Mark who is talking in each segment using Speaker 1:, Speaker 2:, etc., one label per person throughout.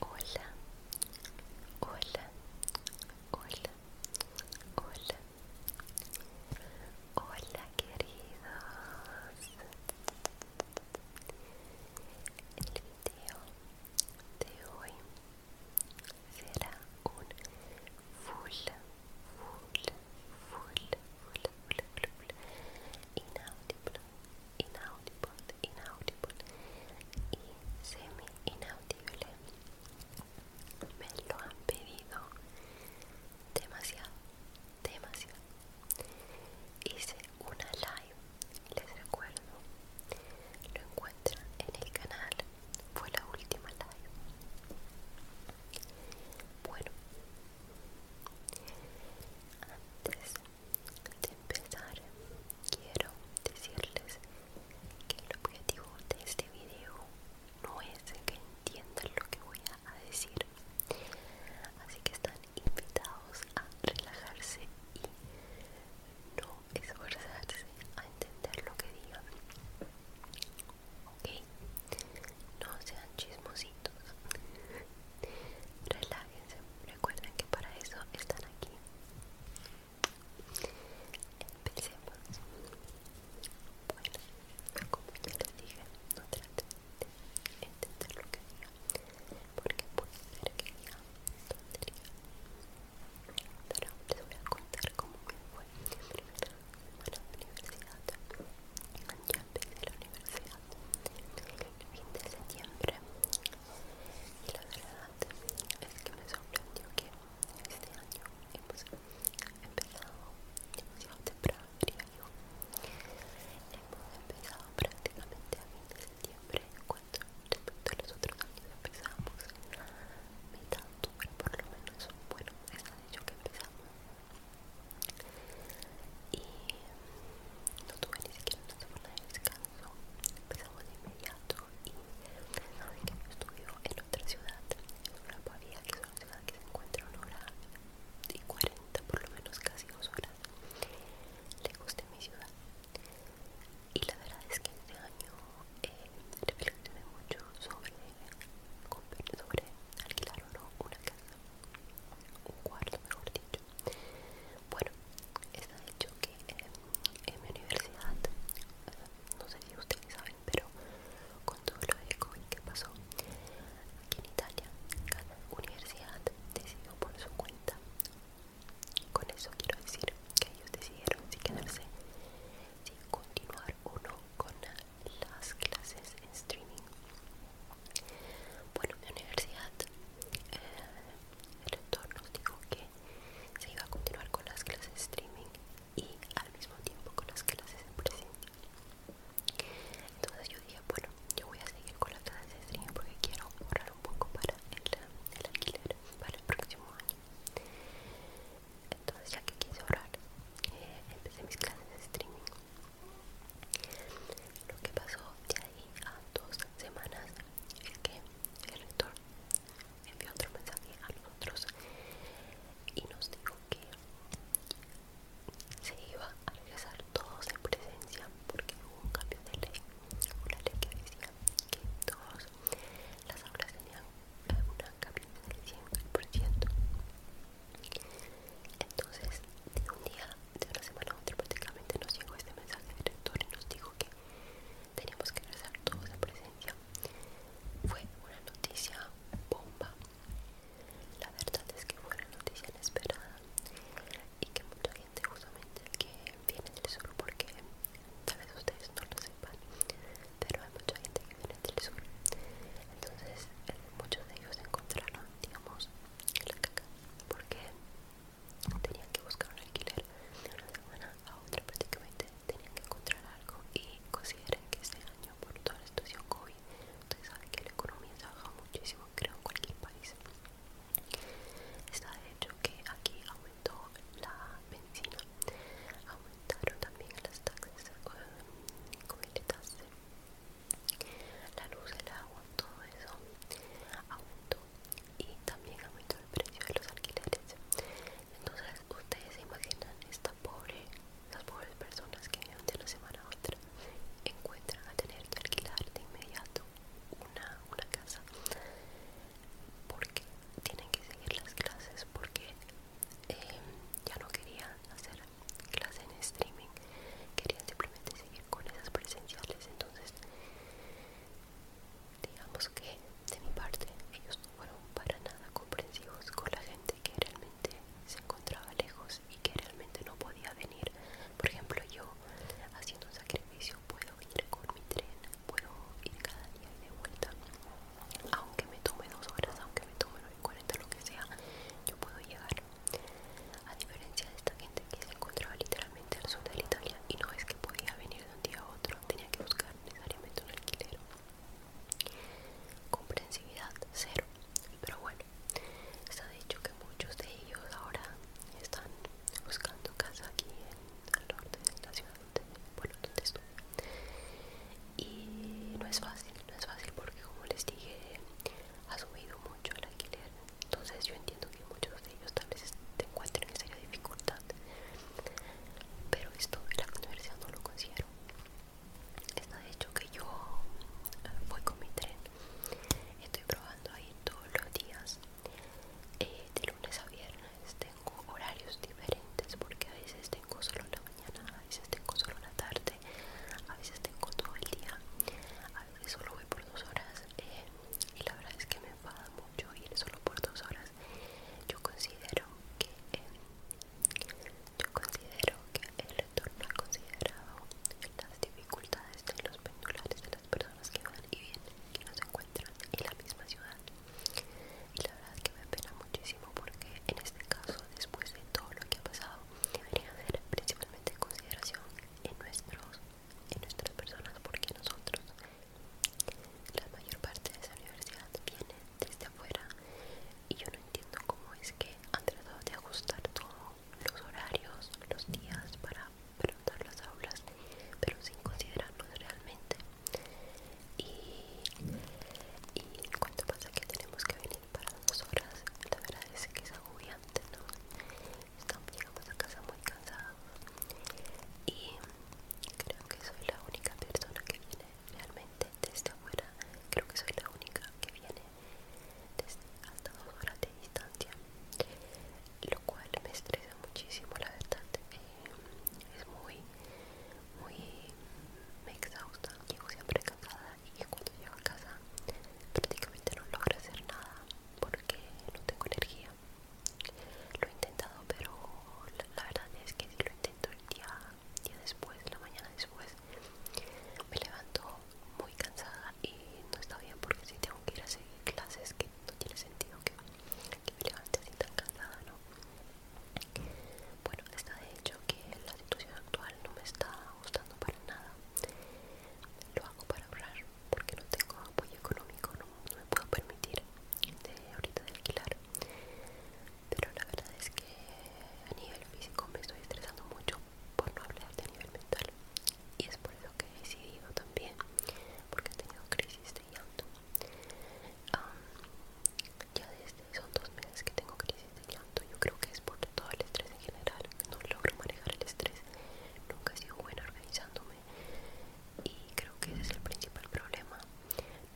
Speaker 1: Hola, hola, hola, hola, hola queridos. El video de hoy será un full, full, full, full, inaudible, inaudible, inaudible y semi inaudible. Me lo han pedido demasiado, demasiado. Hice una live, les recuerdo. Lo encuentran en el canal fue la última live. Bueno, antes de empezar, quiero decirles que el objetivo de este video no es que entiendan lo que voy a decir, así que están invitados a relajarse y no esforzarse a entender lo que digan. Ok, no sean chismositos. Relájense, recuerden que para eso están aquí. Empecemos. Bueno, como ya les dije, no traten de
Speaker 2: entender lo que diga, porque puede ser que diga pero les voy a contar cómo me fue mi primera semana de universidad. Ya de la universidad el fin de septiembre y la verdad es que me sorprendió que este año empezamos empezado demasiado temprano, diría yo. Hemos empezado prácticamente a fin de septiembre cuando respecto a los otros años empezamos mitad por lo menos bueno es la dicho que empezamos y no tuve ni siquiera una semana de descanso empezamos de inmediato y saben que yo estudio en otra ciudad en una pavía que es una ciudad que se encuentra una hora y 40 por lo menos casi dos horas le gusta mi ciudad y la verdad es que este año eh, reflexioné mucho sobre, alquilar o no una casa, un cuarto mejor dicho. Bueno, está dicho que eh, en mi universidad, eh, no sé si ustedes saben, pero con todo lo del COVID que pasó aquí en Italia, cada universidad decidió por su cuenta. Con eso quiero decir que ellos decidieron si quedarse, si continuar uno con las clases en streaming. Bueno, mi universidad, eh, el rector nos dijo que se iba a continuar con las clases en streaming y al mismo tiempo con las clases en presente Entonces yo dije, bueno, yo voy a seguir con las clases en streaming porque quiero ahorrar un poco para el alquiler para el próximo año entonces ya que quise orar empecé mis clases de streaming lo que pasó de ahí a dos semanas es que el rector envió otro mensaje a nosotros y nos dijo que se iba a regresar todos en presencia porque hubo un cambio de ley una ley que decía que todas las aulas tenían una cambió al 100%. Entonces, de un día, de una semana a otra, prácticamente nos llegó este mensaje del director y nos dijo que teníamos que regresar todos a presencia. Fue una noticia bomba. La verdad es que fue una noticia inesperada y que mucha gente, justamente que viene del sur, porque tal vez ustedes no lo sepan, pero hay mucha gente que viene del sur entonces eh, muchos de ellos encontraron digamos la caca porque tenían que buscar un alquiler de una semana a otra prácticamente tenían que encontrar algo y consideren que este año por toda la situación COVID ustedes saben que la economía se ha muchísimo creo en cualquier país está de hecho que aquí aumentó la benzina, aumentaron también las taxas eh, el la luz, el agua, todo eso aumentó y también aumentó el precio de los alquileres. Entonces, ustedes se imaginan estas pobre, las pobres personas que de una semana a otra encuentran a tener que alquilar de inmediato una, una casa porque tienen que seguir las clases porque em, ya no quería hacer clase en streaming, quería simplemente seguir con esas presenciales. Entonces, digamos que de mi parte, ellos no fueron para nada comprensivos con la gente que realmente se encontraba lejos y que realmente no podía venir. Por ejemplo, yo haciendo un sacrificio puedo ir con mi tren puedo ir cada día y de vuelta aunque me tome dos horas aunque me tome 40 lo que sea yo puedo llegar a diferencia de esta gente que se encontraba literalmente al sur de Italia y no es que podía venir de un día a otro tenía que buscar necesariamente un alquiler comprensividad cero pero bueno está dicho que muchos de ellos ahora están buscando casa aquí en el norte de la ciudad bueno, estuve y no es fácil, no es fácil porque como les dije ha subido mucho el alquiler entonces yo entiendo que muchos de ellos tal vez te encuentren en seria dificultad pero esto de la universidad no lo considero está de hecho que yo eh, voy con mi tren estoy probando ahí todos los días eh, de lunes a viernes tengo horarios diferentes porque a veces tengo solo la mañana, a veces tengo solo la tarde, a veces tengo todo el día, a veces solo voy por dos horas eh, y la verdad es que me enfada mucho ir solo por dos horas. Yo considero que eh, yo considero que el retorno ha considerado las dificultades de los pendulares de las personas que van y vienen, que no se encuentran en la misma ciudad y la verdad es que me pena muchísimo porque en este caso después de todo lo que ha pasado debería haber principalmente consideración en nuestros en nuestras personas porque nosotros la mayor parte de esa universidad viene desde afuera y yo no entiendo cómo es que han tratado de ajustar todos los horarios los días para preguntar las aulas pero sin considerarnos realmente y, y cuando pasa que tenemos que venir para dos horas la verdad es que es agobiante ¿no? Estamos, llegamos a casa muy cansados y creo que soy la única persona que viene realmente desde afuera creo que soy la única que viene desde hasta dos horas de distancia lo cual me estresa muchísimo la verdad eh, es muy, muy me exhausta. Llego siempre cansada y cuando llego a casa prácticamente no logro hacer nada porque no tengo energía. Lo he intentado, pero la, verdad es que si lo intento el día, después, la mañana después, me levanto muy cansada y no está bien porque si tengo que ir a seguir clases que no tiene sentido que, me levante así tan cansada, ¿no? Bueno, está de hecho que la situación actual no me está gustando para nada. Lo hago para ahorrar porque no tengo apoyo económico, no, me puedo permitir ahorita de alquilar. Pero la verdad es que a nivel físico me estoy estresando mucho por no hablar de nivel mental. Y es por eso que he decidido también, porque he tenido crisis de llanto. ya desde son dos meses que tengo crisis de llanto. Yo creo que es por todo el estrés en general. No logro manejar el estrés. Nunca he sido buena organizándome. Y creo que ese es el principal problema.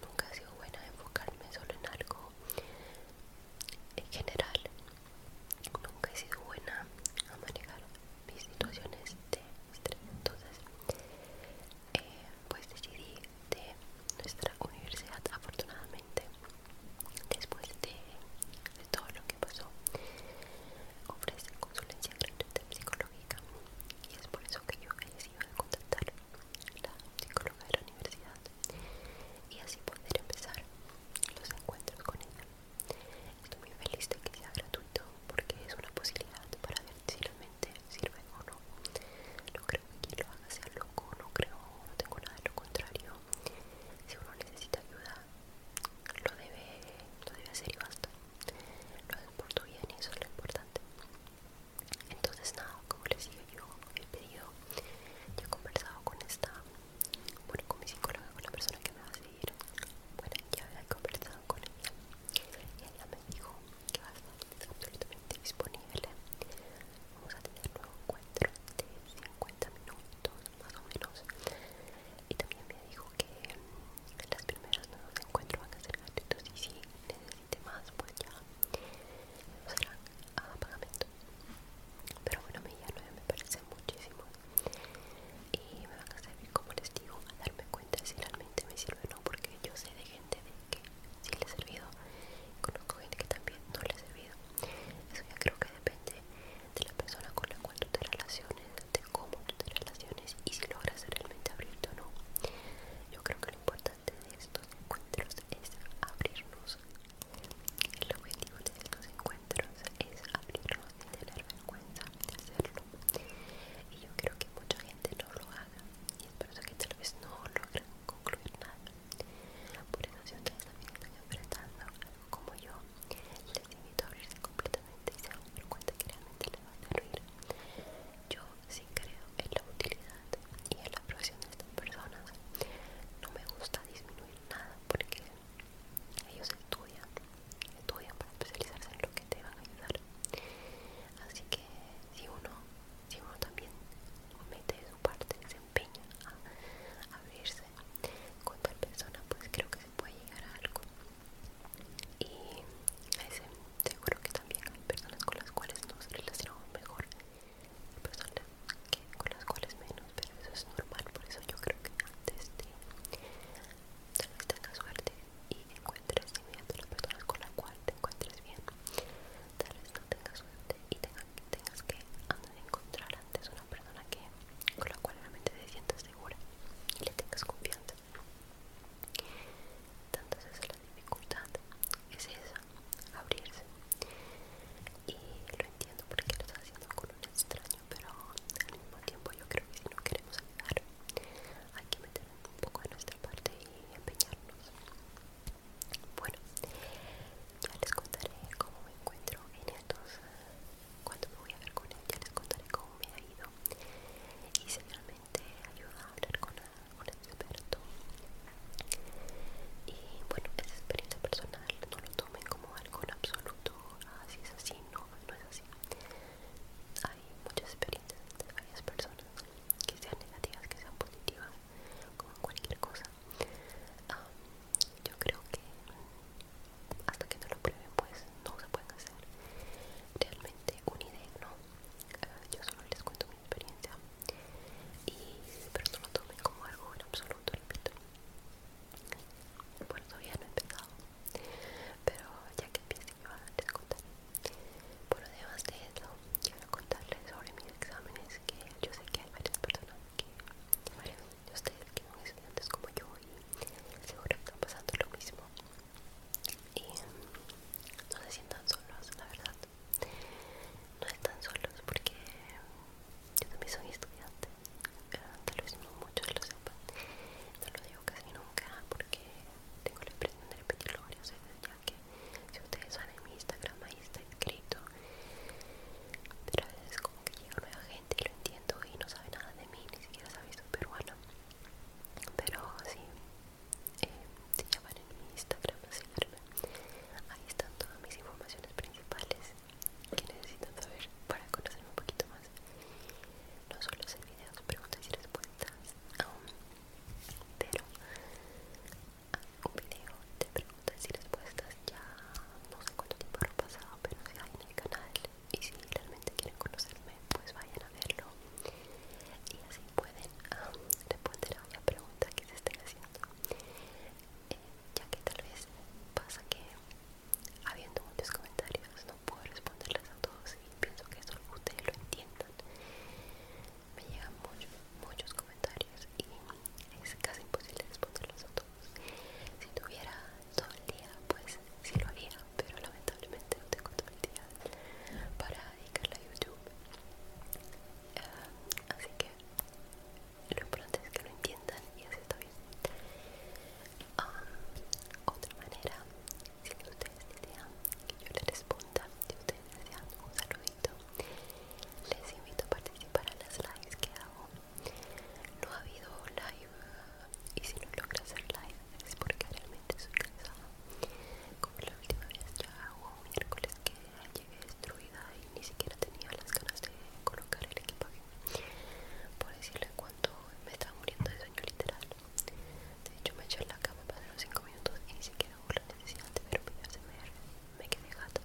Speaker 2: Nunca he sido buena enfocarme solo en algo. En general, nunca he sido buena a manejar mis situaciones de estrés. Eh, pues decidí de nuestra universidad afortunadamente después de, todo lo que pasó ofrecer consulencia gratuita psicológica y es por eso que yo decidí decidido contactar la psicóloga de la universidad y así poder empezar los encuentros con ella estoy muy feliz de que sea gratuito porque es una posibilidad para si realmente sirve o no. No creo que quien lo haga sea loco, no creo, no tengo nada de lo contrario. Si uno necesita ayuda, lo debe, lo debe hacer y basta. Lo es por tu bien y eso es lo importante. Entonces nada, como les digo yo, he pedido, yo he conversado con esta, bueno, con mi psicóloga, con la persona que me va a seguir. Bueno, ya he conversado con ella. Y ella me dijo que va a estar absolutamente disponible. Vamos a tener un nuevo encuentro de 50 minutos más o menos. Y también me dijo que mm, las primeras nuevas encuentros van a ser gratuitos y si necesite más, pues ya serán a pagamento. Pero bueno, mi día 9 me parece muchísimo y me van a servir como les digo a darme cuenta si realmente me sirve o no, porque yo sé de gente que sí le ha servido conozco gente que también no le ha servido eso ya creo que depende de la persona con la cual tú te relaciones de cómo tú te relaciones y si logras realmente abrirte o no yo creo que lo importante de estos encuentros es abrirnos el objetivo de estos encuentros es abrirnos y tener vergüenza de hacerlo y yo creo que mucha gente no lo haga y es por eso que tal vez no logran concluir nada. Por eso si ustedes también están enfrentando algo como yo, les invito a abrirse completamente y se van a cuenta que realmente les va a servir. Yo sí creo en la utilidad y en la profesión de estas personas. No me gusta disminuir nada porque ellos estudian, estudian para especializarse en lo que te van a ayudar. Así que si uno si uno también mete su parte, se empeña a abrirse con tal persona, pues creo que se puede llegar a algo. Y seguro que también hay personas con las cuales nos relacionamos mejor, personas que, con las cuales menos, pero eso es normal, por eso yo creo que antes de tal tanta tenga suerte y encuentre encuentres y mediante las personas con la cual te encuentres bien. Tal vez no tengas suerte y tengas que encontrar antes una persona que, con la cual realmente te sientas segura y le tengas confianza. Tantas es la dificultad, es esa, abrirse. Y lo entiendo porque lo estás haciendo con un extraño, pero al mismo tiempo yo creo que si no queremos ayudar, hay que meter un poco de nuestra parte y empeñarnos. Bueno, ya les contaré cómo me encuentro en estos. Cuando me voy a ver con él, ya les contaré cómo me ha ido. Y seguramente ayuda a hablar con el experto. Y bueno, es experiencia personal, no lo tomen como algo en absoluto. Así ah, es así, no, no es así. Hay muchas experiencias de varias personas que sean negativas, que sean positivas, como cualquier cosa. yo creo que hasta que no lo prueben, pues no se pueden hacer realmente una idea, ¿no? Ah, yo solo les cuento mi experiencia, y, pero no lo tomen como algo en absoluto, repito. Bueno, todavía no he empezado, pero ya que piensen yo les a Por lo demás de eso, quiero contarles sobre mis exámenes que yo sé que hay varias personas que, varios de ustedes que son estudiantes como yo y seguro que están pasando lo mismo y no se sientan solos, la verdad no están solos porque yo también soy estudiante eh, tal vez no muchos lo sepan no lo digo casi nunca porque tengo la impresión de repetirlo varias veces ya que si ustedes van en mi Instagram ahí está escrito pero a veces como que llega nueva gente y lo entiendo y no sabe nada de mí, ni siquiera sabe soy peruana pero sí, eh, si ya llaman en mi Instagram así ahí están todas mis informaciones principales que necesitan saber para conocerme un poquito más no solo hacer videos, preguntas y respuestas aún, pero un video de preguntas y respuestas ya no sé cuánto tiempo ha pasado pero si hay en el canal y si realmente quieren conocerme pues vayan a verlo y así pueden ah, responder a una pregunta que se estén haciendo eh, ya que tal vez pasa que habiendo muchos comentarios no puedo responderles a todos y pienso que eso ustedes lo entiendan me llegan muchos, muchos comentarios y es casi imposible responderlos a todos. Si tuviera todo el día, pues sí lo haría, pero lamentablemente no tengo todo el día para dedicarle a YouTube. Ah, así que lo importante es que lo entiendan y así está bien. Ah, otra manera, si ustedes desean que yo les responda, si ustedes desean un saludo les invito a participar en las lives que hago. No ha habido live y si no logras hacer live es porque realmente soy cansada. Como la última vez ya hago un miércoles que llegué destruida y ni siquiera tenía las ganas de colocar el equipaje. Por decirle cuánto me estaba muriendo de sueño literal. De hecho me eché en la cama, para pasaron 5 minutos y ni siquiera que la necesidad de ver videos de me quedé gato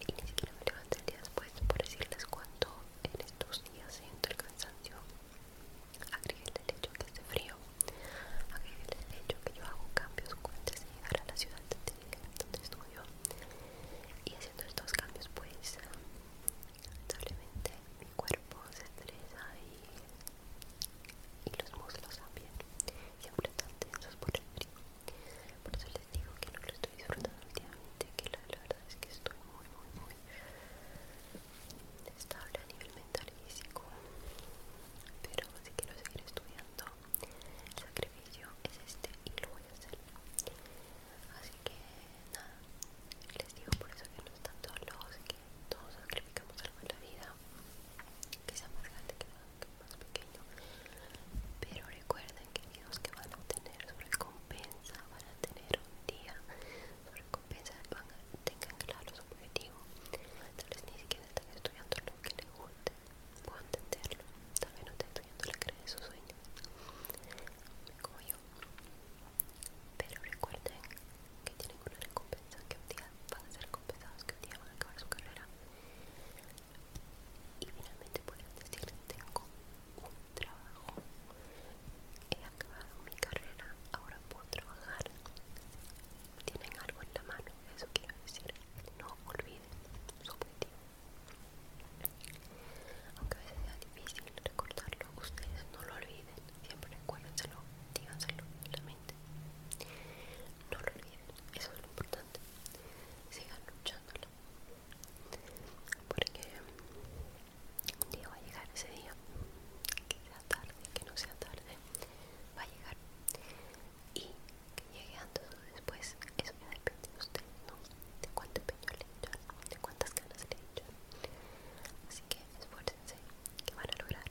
Speaker 2: y ni siquiera me levanté el día después por decirles cuánto en estos días siento el cansancio. Agregué el hecho que hace frío, agregué el hecho que yo hago cambios antes de llegar a la ciudad de donde estudio y haciendo estos cambios pues lamentablemente mi cuerpo se estresa y y los muslos también siempre están tensos por el frío por eso les digo que no lo estoy disfrutando últimamente que la, verdad es que estoy muy muy muy estable a nivel mental y físico pero si quiero seguir estudiando el sacrificio es este y lo voy a hacer así que nada les digo por eso que no están los que todos sacrificamos algo en la vida que sea más grande que más pequeño pero recuerden queridos que van a obtener su recompensa van a tener un día su recompensa van a, tener claro su objetivo tal vez ni siquiera están estudiando lo que les guste puedo entenderlo tal vez no estén estudiando la de sus sueños como yo pero recuerden que tienen una recompensa que un día van a ser compensados que tienen a acabar su carrera y finalmente pueden decir tengo un trabajo he acabado mi carrera ahora puedo trabajar tienen algo en la mano eso quiero decir no olviden su objetivo aunque a veces sea difícil recordarlo ustedes no lo olviden siempre recuérdenselo díganselo en la mente no lo olviden, eso es lo importante. Sigan luchándolo. Porque un día va a llegar ese día, que sea tarde, que no sea tarde, va a llegar. Y que llegue antes o después, eso ya depende de usted ¿no? De cuánto empeño le echan, de cuántas ganas le echan. Así que esfuércense, que van a lograr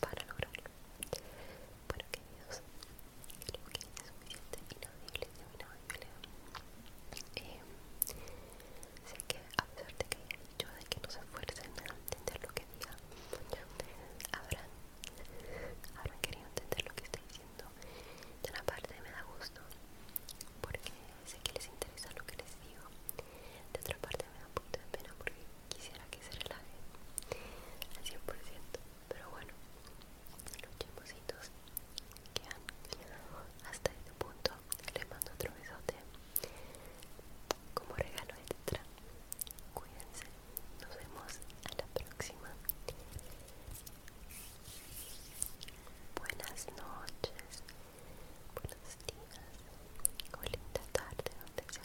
Speaker 2: para lograrlo. Bueno, queridos, creo que es suficiente inaudible, inaudible. Eh, sé que a pesar de que haya dicho de que no se esfuercen en entender lo que diga, habrán, habrán querido entender lo que estoy diciendo. De una parte me da gusto porque sé que les interesa lo que les digo. De otra parte me da un poco de pena porque quisiera que se relaje al 100%, pero bueno, los chimpositos que han llegado hasta este punto, les mando otro besote como regalo de letra Cuídense, nos vemos a la próxima. Buenas noches, buenos días, o linda tarde, donde sea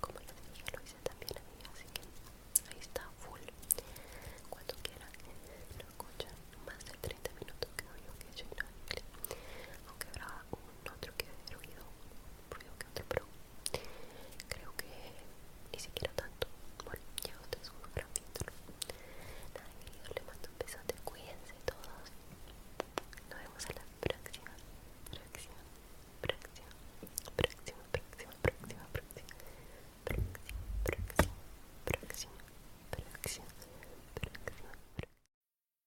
Speaker 3: como les dije lo hice también a mí así que ahí está full cuando quieran lo escuchan más de 30 minutos que no que que hecho no aunque habrá un otro que de ruido ruido que otro pero creo que ni siquiera tanto bueno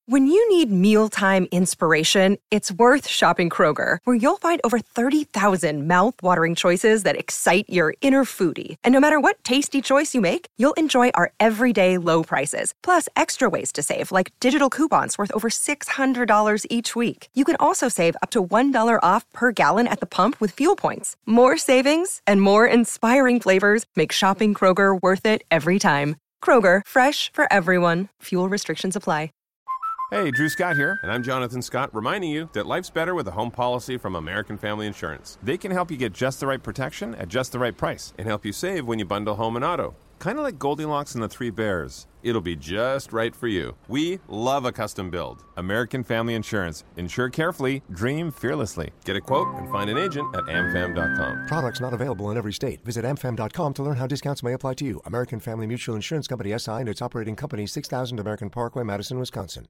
Speaker 3: When you need mealtime inspiration, it's worth shopping Kroger, where you'll find over 30,000 mouthwatering choices that excite your inner foodie, and no matter what tasty choice you make, you'll enjoy our everyday low prices, plus extra ways to save, like digital coupons worth over $600 each week. You can also save up to $1 off per gallon at the pump with fuel points. More savings and more inspiring flavors make shopping Kroger worth it every time. Kroger, fresh for everyone. Fuel restrictions apply.
Speaker 1: Hey, Drew Scott here, and I'm Jonathan Scott, reminding you that life's better with a home policy from American Family Insurance. They can help you get just the right protection at just the right price and help you save when you bundle home and auto. Kind of like Goldilocks and the Three Bears. It'll be just right for you. We love a custom build. American Family Insurance. Insure carefully, dream fearlessly. Get a quote and find an agent at amfam.com. Products not available in every state. Visit amfam.com to learn how discounts may apply to you. American Family Mutual Insurance Company SI and its operating company 6000 American Parkway, Madison, Wisconsin.